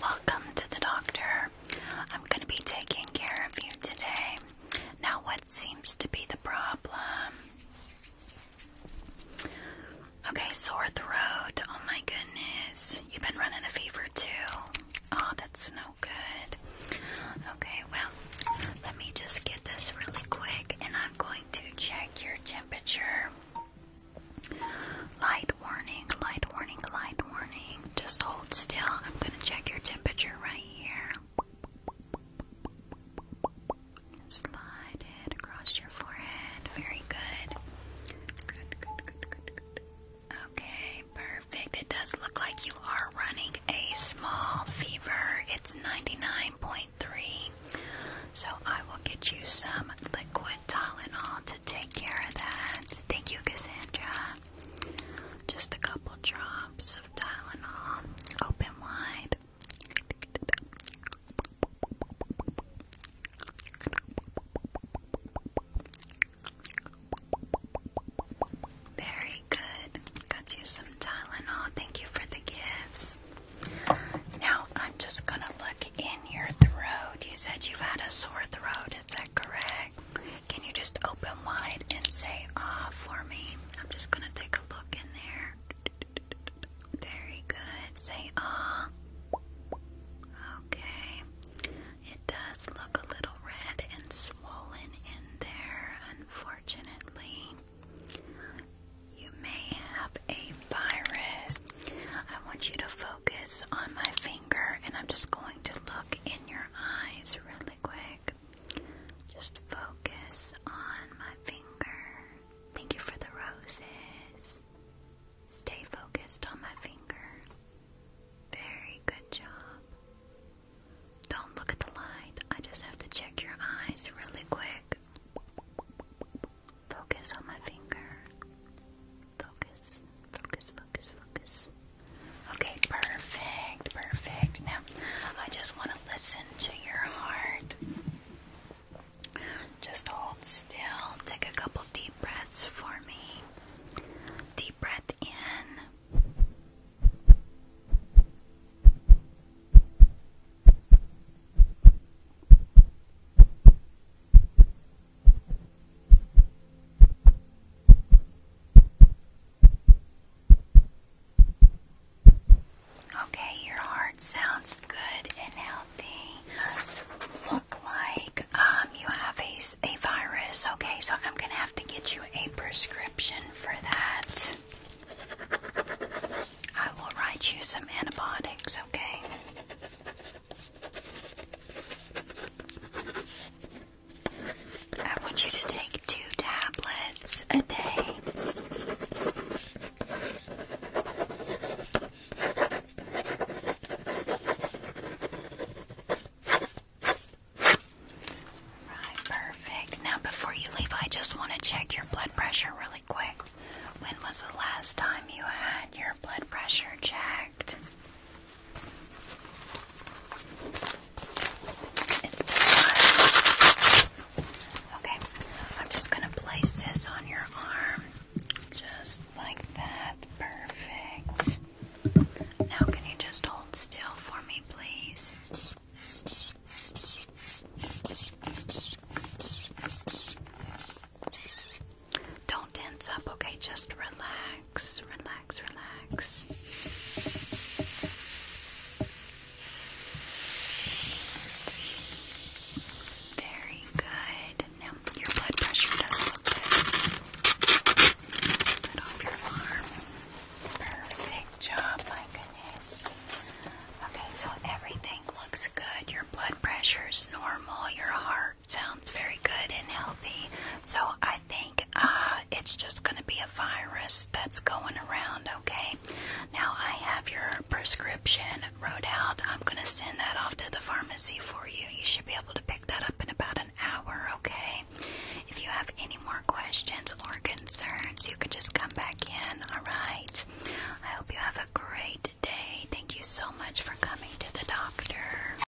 Welcome to the doctor. I'm going to be taking care of you today. Now, what seems to be the problem? Okay, sore throat. Oh my goodness. You've been running a fever too. Oh, that's no good. Okay, well, let me just get this really quick and I'm going to check your temperature. Light warning, light warning, light warning. Just hold still. I'm going to check your temperature right here. Slide it across your forehead. Very good. Good, good, good, good, Okay, perfect. It does look like you are running a small fever. It's 99.9 so I will get you some liquid Tylenol to take care of that. Thank you, Cassandra. Just a couple drops of Tylenol. Open wide. Very really good. Got you some Tylenol. Thank you for the gifts. Now I'm just gonna look in your throat. You said you've had a sore throat, is that correct? Can you just open wide and say ah for me? I'm just gonna take a look in there. Very good. Say ah. Okay. It does look a little red and swollen in there. I Unfortunately, you may have a virus. I want you to focus on my finger, and I'm just going to look in your eyes really quick. Just focus on my finger. Thank you for the roses. Stay focused on my finger. Very good job. Don't look at the light. I just have to check your eyes really quick. Focus on my finger. Focus, focus, focus, focus. Okay, perfect, perfect. Now, I just want to listen to your heart. Just hold still. Take a couple deep breaths for me. Deep breath in. Okay, your heart sounds good and healthy like um, you have a, a virus. Okay, so I'm going to have to get you a prescription for that. I will write you some antibiotics, okay? I want you to take two tablets a day. Right, perfect. Now, before you leave, I just want to check your blood pressure really quick. When was the last time you had your blood pressure checked? Okay, I'm just going to place this on your arm. Just like that. Perfect. Now, can you just hold still for me, please? Don't tense up, okay? Just relax, relax, relax. Very good. Now your blood pressure does look good. Put off your arm. Perfect job, my goodness. Okay, so everything looks good. Your blood pressure is normal. Your heart sounds very good and healthy. So I think uh, it's just going to be a virus that's going around, okay? Now I have your prescription wrote out. I'm going to send that off to the pharmacy for you. You should be able to pick that up in about an hour, okay? If you have any more questions or concerns, you can just come back in, alright? I hope you have a great day. Thank you so much for coming to the doctor.